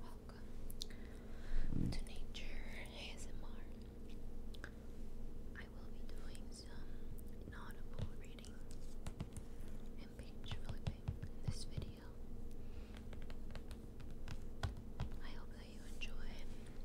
Welcome to Nature ASMR. I will be doing some inaudible reading and page flipping in this video. I hope that you enjoy. to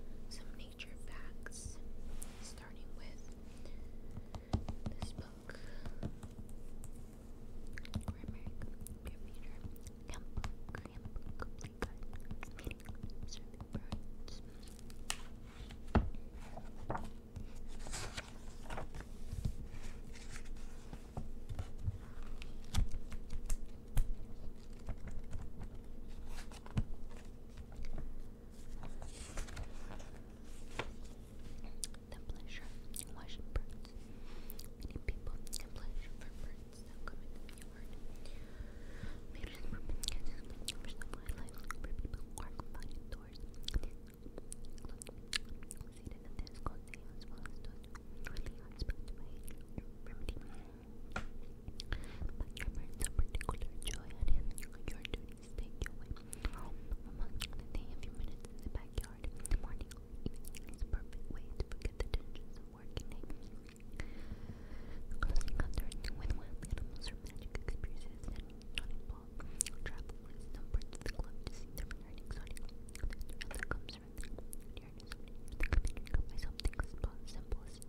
read some nature facts, starting with this book. Grammar, computer, handbook, handbook, complete guide, meeting, serving birds. The pleasure in washing birds. Many people get pleasure from birds that come in the yard. Maybe it's wildlife, for people who are confined indoors. Seated in this cozy as well as those who really are spent away remedy. But your birds stay away a few minutes in the backyard in the morning is a perfect way to forget the tensions of working day. Close encounters with wild animals or magic experiences that do not involve travel is the club to see different and exotic things that comes from the nearness of nature. The community of myself thinks about simple as a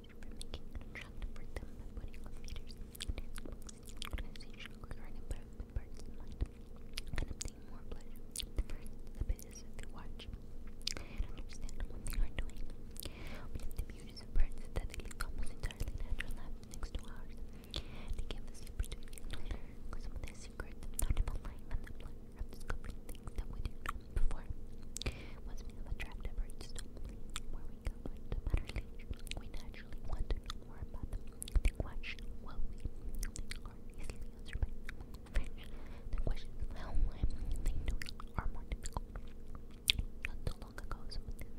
for making it attractive for them by putting the parts is you birds that live almost entirely natural lives next to ours. They give us the opportunity some of their secrets of animal life and the pleasure of discovering things that we didn't know before of attractive birds where we go into Butterleaf, we naturally want more about them. The question will be, easily answered by The question of they know are more difficult. Not so long ago, someone about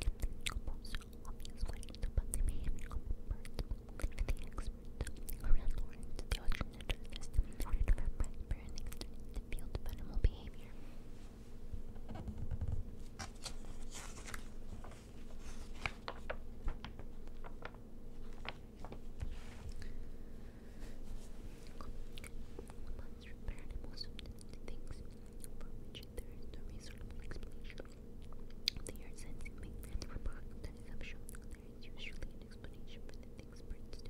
the behavior of birds, but the experts around Lawrence, the oceanologist, in order to prepare an extended field of animal behavior. Months repair animals to things for which there is no reasonable explanation. They are sensing movement or product assumption. There is usually an explanation for the things birds do,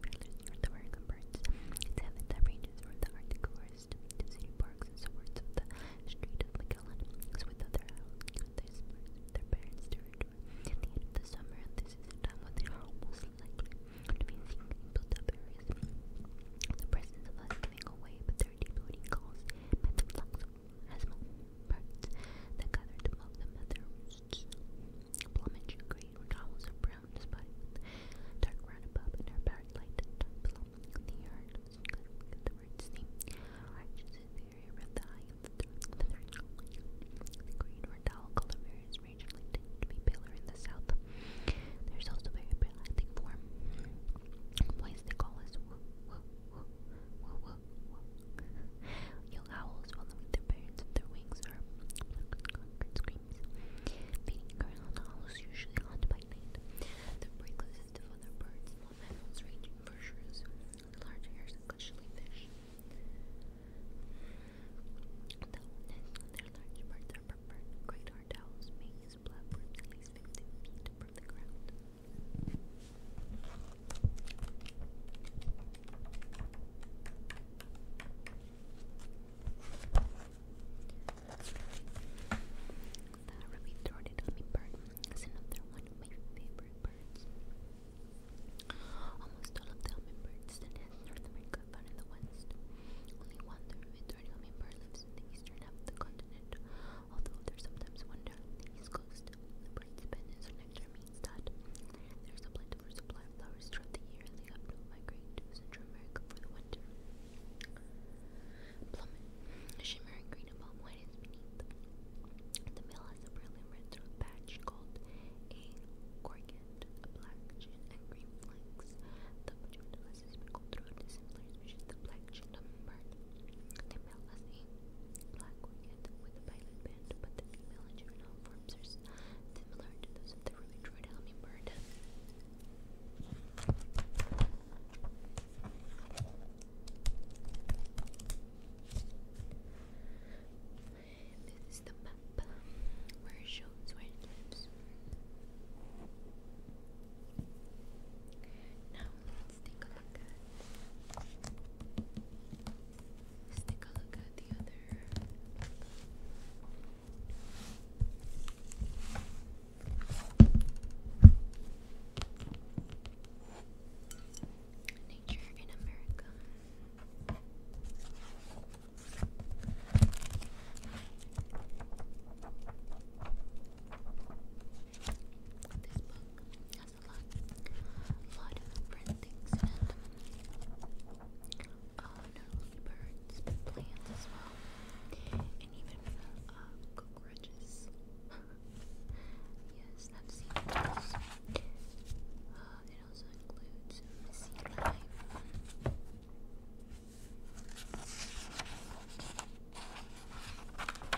Peerless north American birds. Its habitat ranges from the Arctic city parks and suburbs of the Strait As with other owls, their parents' territory at the end of the summer, this is the time when they are built-up areas. The presence of us giving away, but their deep calls meant the flocks of asthma birds that gathered above them at their Plumage. Plumage grey or towels are brown spotted dark brown above and are bright light at times along the yard. The words seem arches is the area of the eye of the third the green or towel color varies regionally tending to be paler in the south. There's also very pale acting form. Boys they call us wah, wah. Young owls their parents with their wings or concrete screams. Feeding ground owls usually hunt by night. Their prey consists of other birds, small mammals ranging from shrews, large hares, and fish. their large birds are preferred, great hard owls may use platforms at least 15 feet from the ground. The ruby throated hummingbird is another one of my favorite birds. Almost all of the hummingbirds that in North America are found in the West. Only one, the ruby throated hummingbird, lives in the eastern half of the continent, although they're sometimes found the East Coast. The birds spend their lifetime means there is a plentiful supply of flowers throughout the year they have no migrate to Central America for the winter. Plummet, shimmering green above, palm white beneath. The male has a brilliant red patch called a gorget, a black and green flanks. The female has a speckled throat, a similar species the black chin hummingbird. The male has a black with the pilot band, but the female juvenile forms are similar to those of the ruby-throated This is the map where it shows where it lives. Now, Let's take a look at let's take a look at the other Nature in America. This book, has a lot, of different things in birds, plants as well, and even cockroaches. yes, I've seen those. it also includes messy life.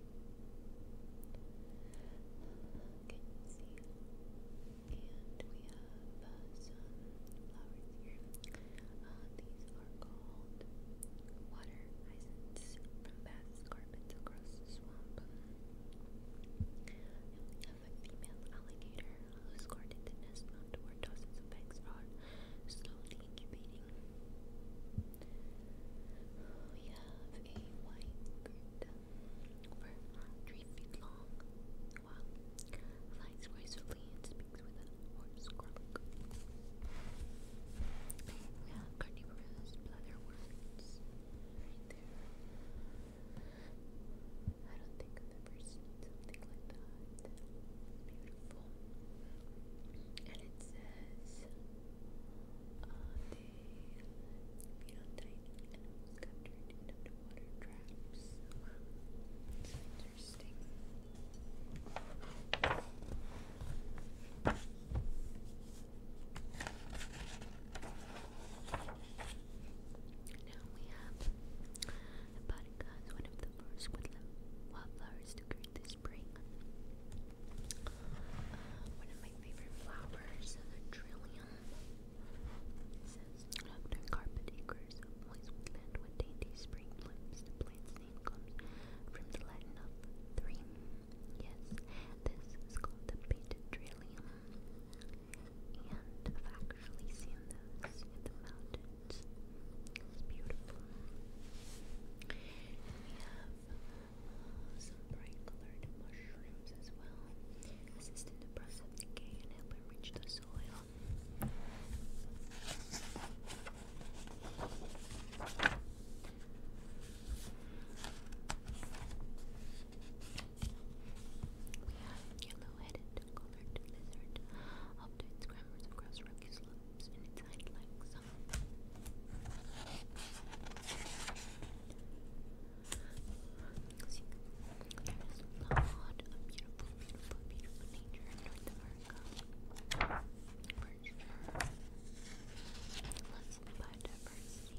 Can you see? And we have uh, some flowers here. Uh, these are called water hyacinths from Bath's carpets across the swamp. And we have a female alligator, escorted the nest mount where dozens of eggs are slowly incubating. We have a white grid over three feet long. Wow. Flies gracefully and speaks with a hoarse croak. We have carnivorous leatherworms right there. I don't think I've ever seen something like that. Beautiful. And it says you know, tiny animals captured in underwater traps. interesting. Now we have Hepatica is one of the first wildflowers to grow this spring. one of my favorite flowers, the trillium. It says, after carpet acres of moist woodland with dainty spring blooms, the plant's name comes from the Latin Yes, this is called the painted trillium. And I've actually seen those in the mountains. It's beautiful. We have some bright colored mushrooms as well, assist in the process of decay and help enrich the soil. We have yellow-headed colored lizard, up to its grammars across rocky slopes and its hind because you there's a lot of beautiful, beautiful, beautiful nature in North America. For sure. Lots of biodiversity.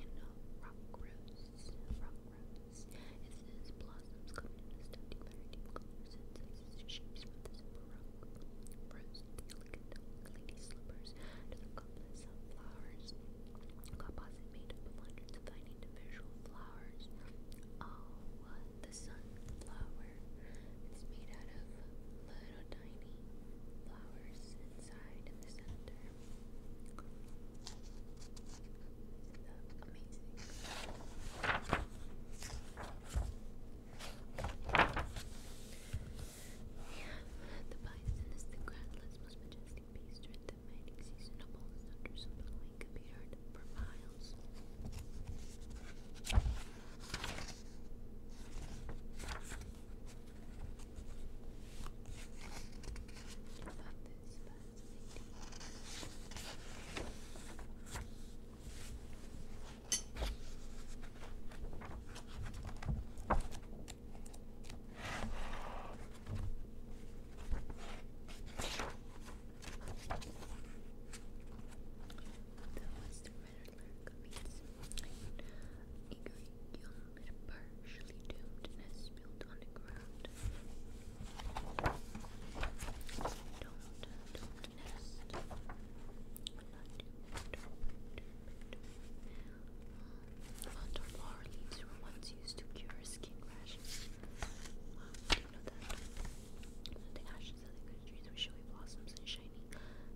you know, rock rose, rock rose. It says blossoms covered in very deep colors and sizes shapes from the super rock rose to the lady slippers to the complex of flowers. Composite made up of hundreds of tiny individual flowers. Oh, the sunflower. It's made out of the flowers inside the center. bison is the groundless, most majestic beast with the mighty seasonable thunders of the lake appeared for miles. That was yes. Igor partially doomed and has spilled on the ground. Don't, don't nest. Not Hunter flower leaves were once used to cure skin rashes. Wow, I didn't know that. The ash bushes and the with showy blossoms and shiny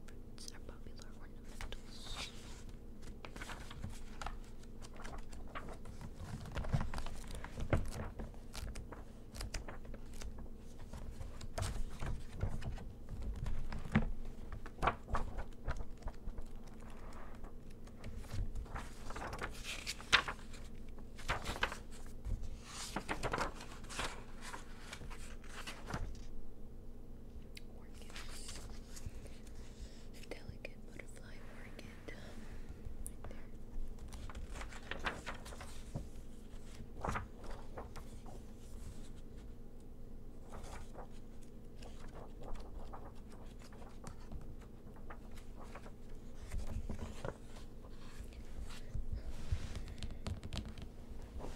fruits are popular ornamentals. All Orchids. Delicate butterfly orchid. Right there. Well,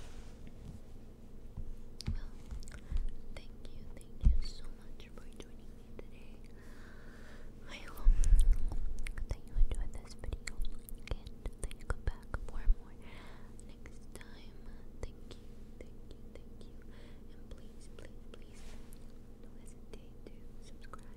thank you, thank you so much for joining me today. I hope that you enjoyed this video and that you back for more next time. Thank you, thank you, thank you. And please, please, please don't hesitate to subscribe.